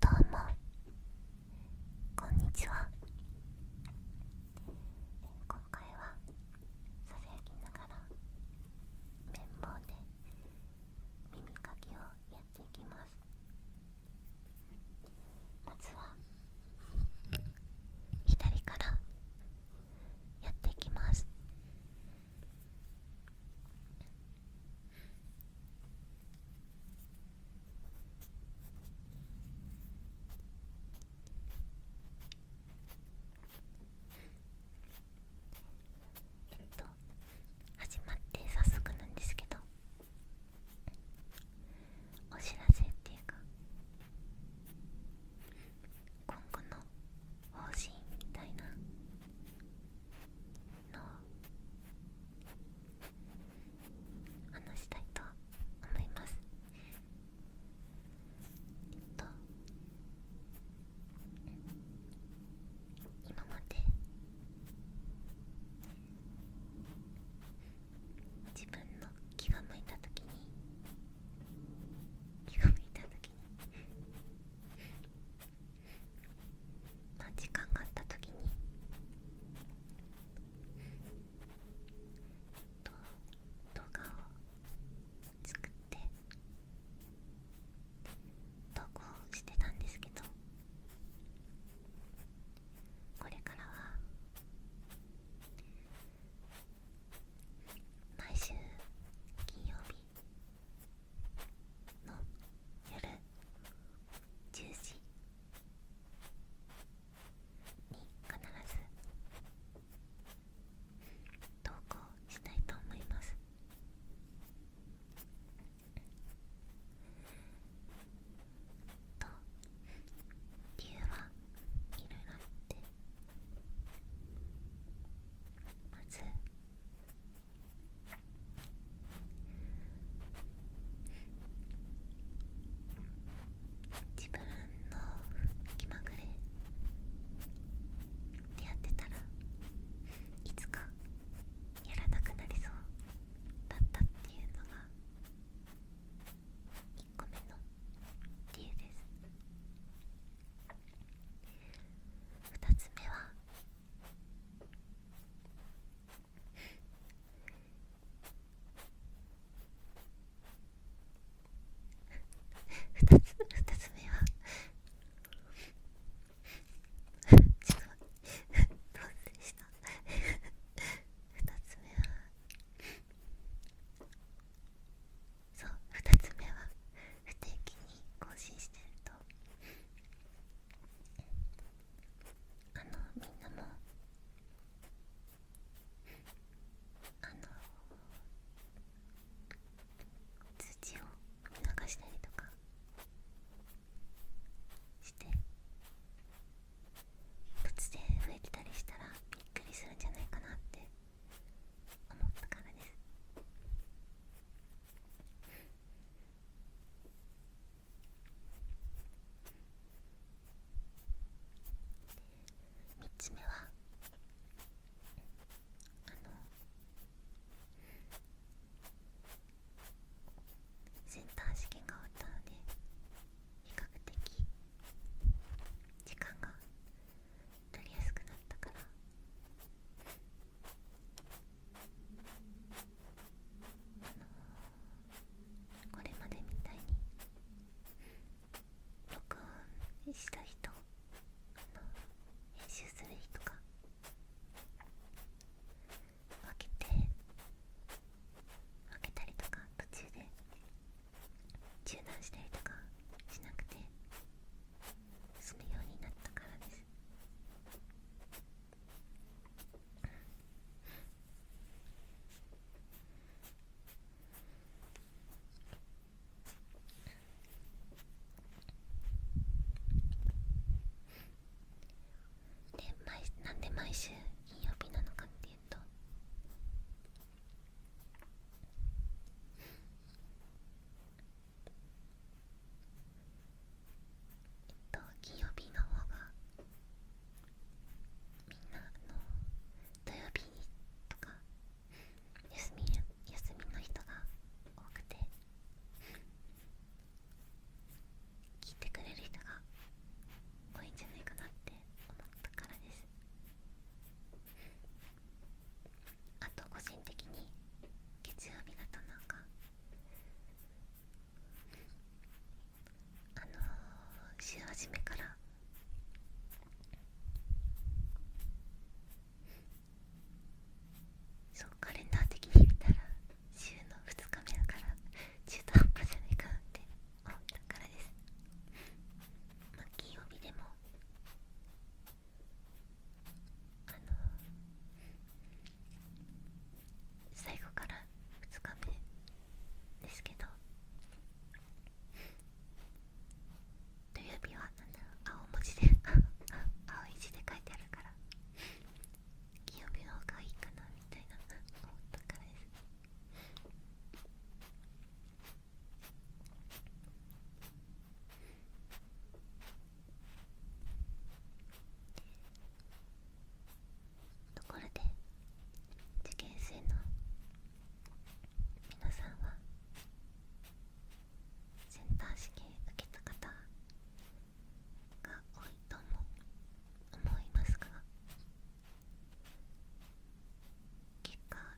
どうもこんにちは今回はささやきながら綿棒で耳かきをやっていきますまずは左からやっていきます。えっと始まって早速なんですけどお知らせっていうか今後の方針みたいなの話したいと思いますえっと今まで自分の気が向いた時に気が向いた時に時間があった時に動画を作って投稿してたんですけどこれからは毎週金曜日の夜10時に必ず投稿したいと思いますと理由はいろいろあってまず自分の気まぐれで、やってたらいつかやらなくなりそうだったっていうのが1個目の理由です2つ目は二つ二つ目はちょっとどうした二つ目はそう二つ目は不定期に更新してるとあのみんなもあの通知を見逃したりとかして突で増えてたりしたらびっくりするんじゃないかなって思ったからです3つ目はあのセンター試験が終わったので比較的時間が取りやすくなったからあの、これまでみたいに録音した人編集する日とか。分けて分けたりとか途中で中断したりとかしなくてするようになったからですで毎なんで毎週金曜日なのかっていうとえっと金曜日の方がみんなの土曜日とか休み休みの人が多くて聞いてくれる人が多いんじゃないかなって思ったからです。あと個人的に月曜日だとなんかあの週初めからそうカレンダー的に見たら週の2日目だから中途半端じゃないかって思ったからですまあ金曜日でもあの最後から2日目ですけど土曜日はなんだ青文字で 青い字で書いてあるから金曜日の方がいいかなみたいな思ったからですところで受験生の皆さんはセンター試験受けた方が多いとも思いますが結果は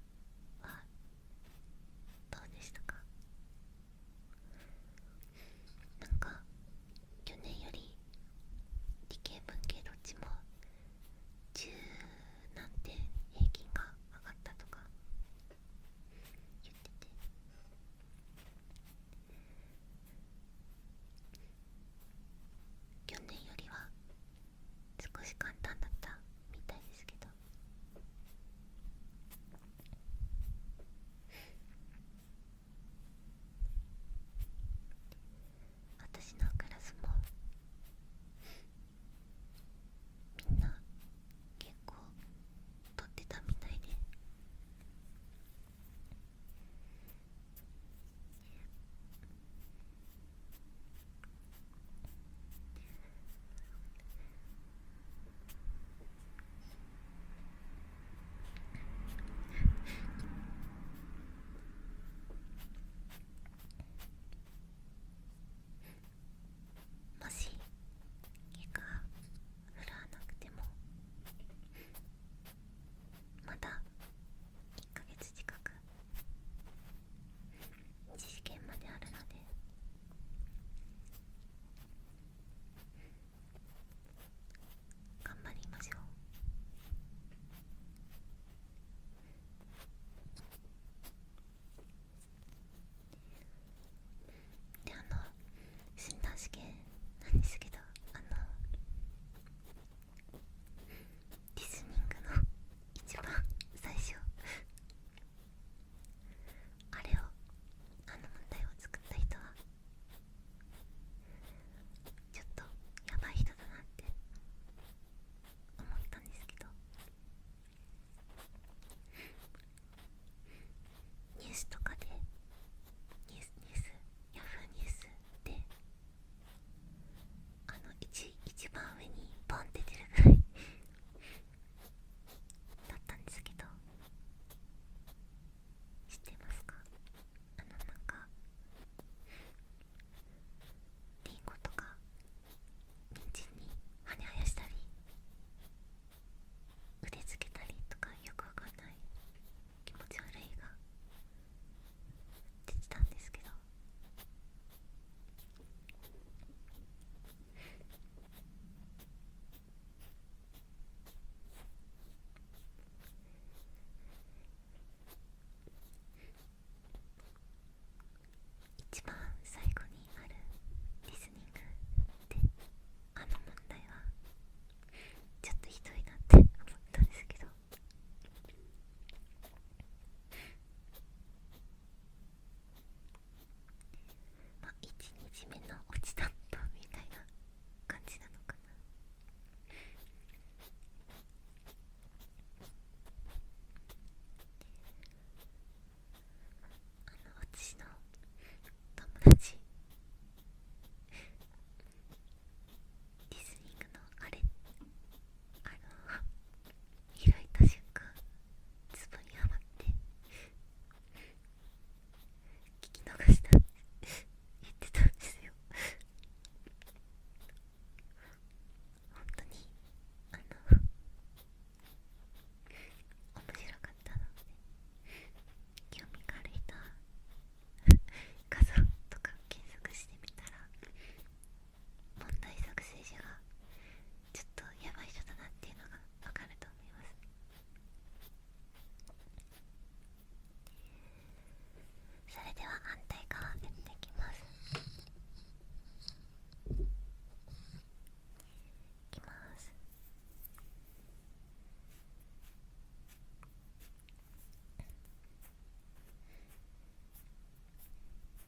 どうでしたかなんか去年より理系文系どっちも10なんて平均が上がったとか言ってて去年よりは少し簡単だったみたいですけど私のクラスもみんな結構撮ってたみたいでもし毛が振らなくてもまた1ヶ月近く知試験まであるので頑張りましょうであの診断試験なんですけどあのリスニングの一番最初あれをあの問題を作った人はちょっとやばい人だなって思ったんですけどニュースとかでニュースニュースヤフーニュースであの一一番上にボンって出るぐらいだったんですけど知ってますかあのなんかりんごとか人参に羽生やしたり腕つけたりとかよくわかんない気持ち悪いが出てたんですけど一番最後にあるリスニングってあの問題はちょっとひどいなって思ったんですけどまあ1日目の落ちだっみたいな感じなのかなあの私の友達リズニングのあれあの開いた瞬間ツボにはまって聞き逃したって言ってたんですよ本当にあの面白かったので興味がある人は画像とか検索してみたら問題作成者は、ちょっとやばい人だなっていうのがわかると思いますそれでは反対側やっていきますいきます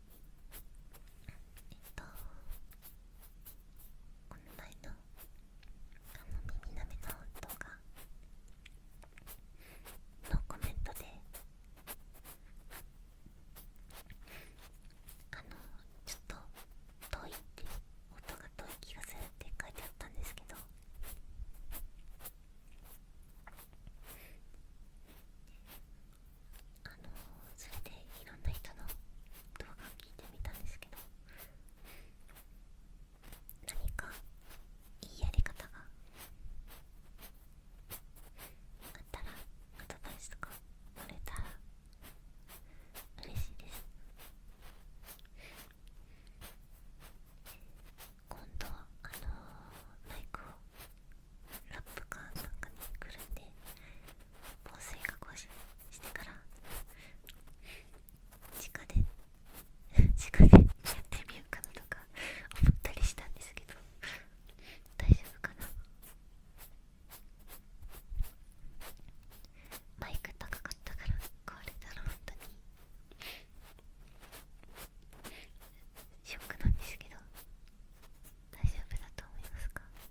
えっとこの前のあの耳なめのウントがのコメントであのちょっと遠いって音が遠い気がするって書いてあったんですけどあのそれでいろんな人の動画を聞いてみたんですけど何かいいやり方があったらアドバイスとかもれたら嬉しいです今度あのマイクをラップかなんかにくるんで防水加工ししてから地下で 地下でやってみようかなとか思ったりしたんですけど大丈夫かなマイク高かったから壊れたら本当にショックなんですけど大丈夫だと思いますか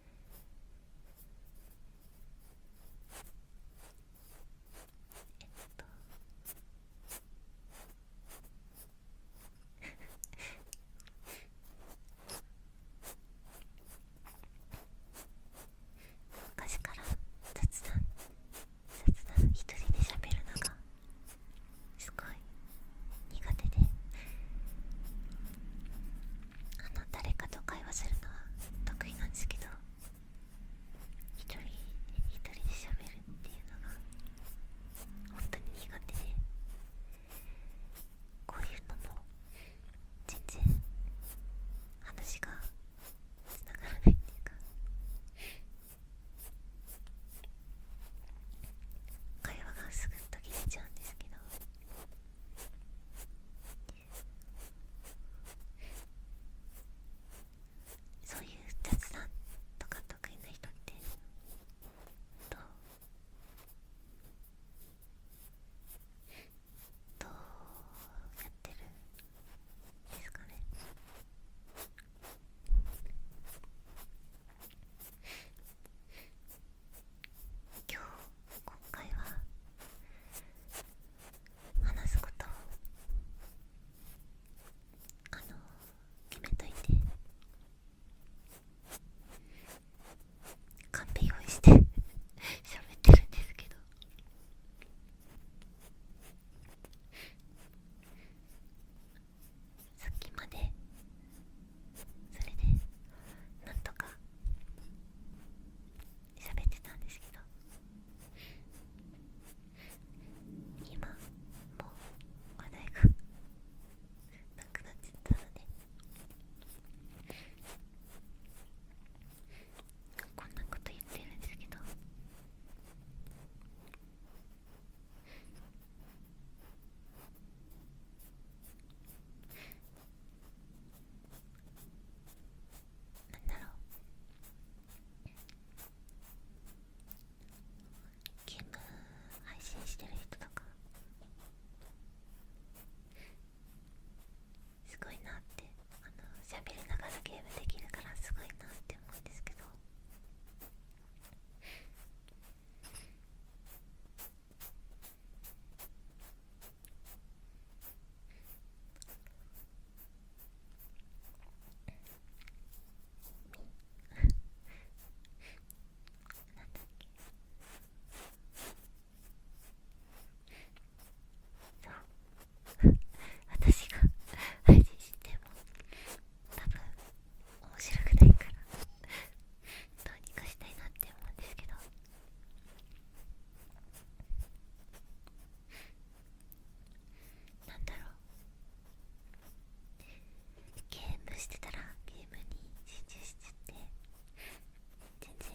えっと昔から雑談雑談一人で喋るのがすごい苦手であの誰かと会話するのは得意なんですけど一人一人で喋るっていうのが本当に苦手でこういうのも全然話がつながらないっていうか会話がすぐ途切れちゃうんですけどそういう雑談とか得意な人ってどうやってるんですかね今日今回は話すことを決めといてカンペ用意して喋ってるんですけどさっきまでそれでなんとか喋ってたんですけど今もう話題がなくなっちゃったのでこんなこと言ってるんですけどなんだろうゲーム配信してる人とかすごいなってあの喋りながらゲームできるからすごいなって思うんですけど 私が配信しても多分面白くないからどうにかしたいなって思うんですけどなんだろうゲームしてたらゲームに集中しちゃって全然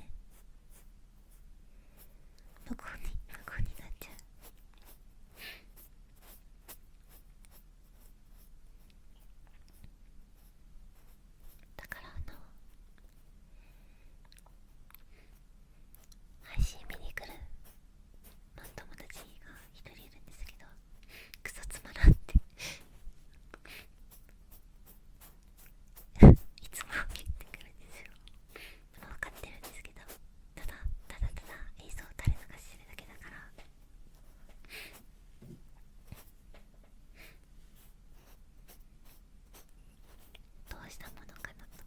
無効に無効になっちゃうだからあの配信見に来る、まあ、友達が一人いるんですけどクソつまらんっていつも言ってくるんですよ分かってるんですけどただただただ映像を垂れ流してるだけだからどうしたものかなと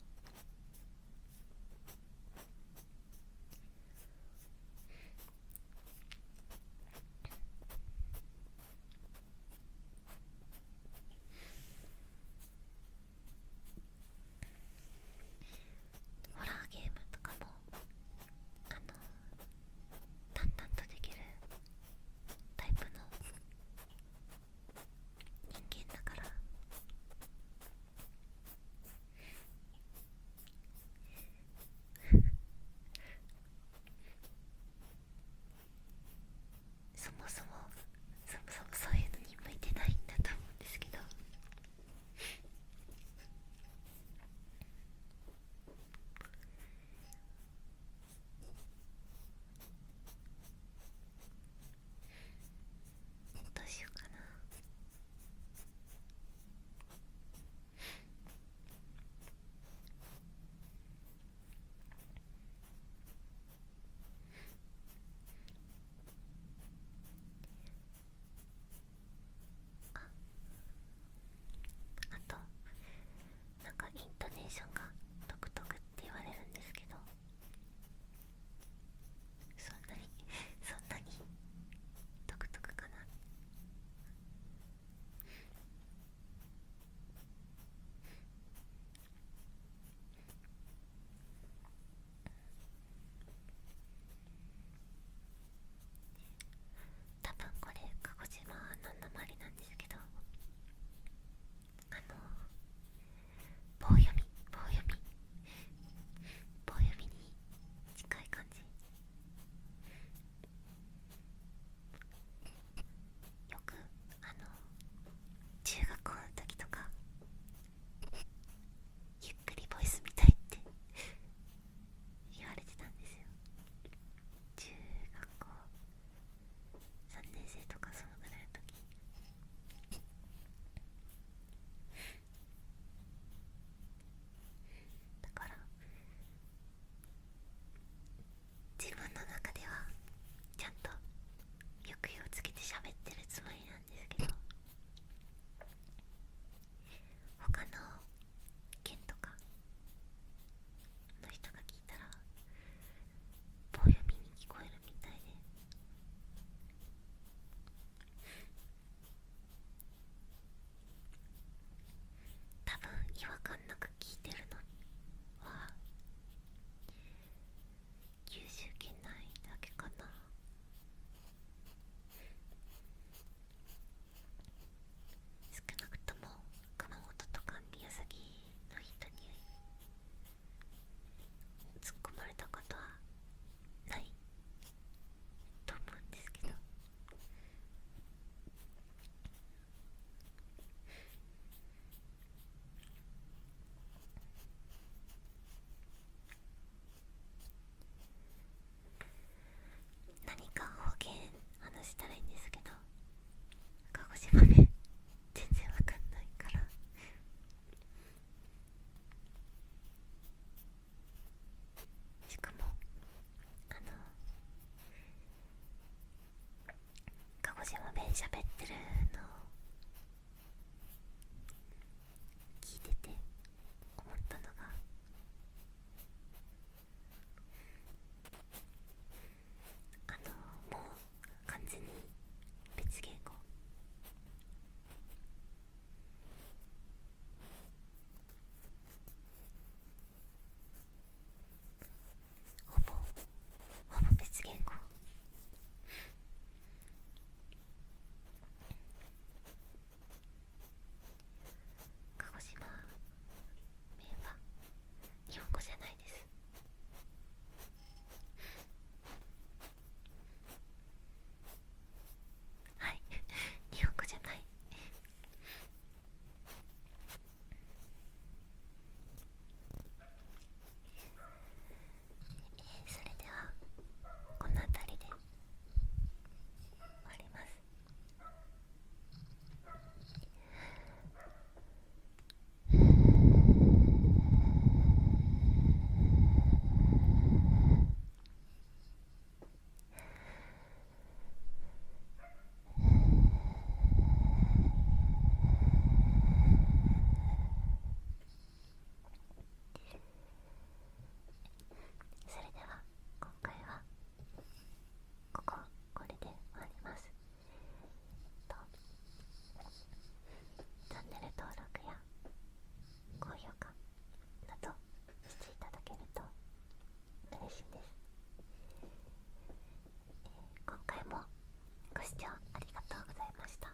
ホラーゲームとかもあの淡々とできるタイプの人間だから そもそもそもそもそういうのに向いてないんだと思うんですけどどうしようかなああとなんかイントネーションが独特って言われるんですけどそんなに そんなに独特かな多分これ鹿児島の訛りなんですけどあの棒読み棒読み棒読みに近い感じよくあの中学校の時とかゆっくりボイスみたいって言われてたんですよ中学校3年生とかそのぐらいの時だから自分の中ではちゃんと抑揚つけて喋ってるつもりなんですけど他の県とかの人が聞いたら棒読みに聞こえるみたいで多分違和感なく聞いてるのは九州県内だけかな少なくとも熊本とか宮崎の人に突っ込まれたことはないと思うんですけど何か方言話したらいいんですけど鹿児島弁全然わかんないからしかもあの鹿児島弁しゃべってるの聞いてて思ったのがあのもう完全に別言語ほぼほぼ別言語鹿児島名は日本語じゃないですはい日本語じゃないえそれではこの辺りで終わりますそれでは今回はこここれで終わりますとチャンネル登録や高評価などしていただけると嬉しいです、今回もご視聴ありがとうございました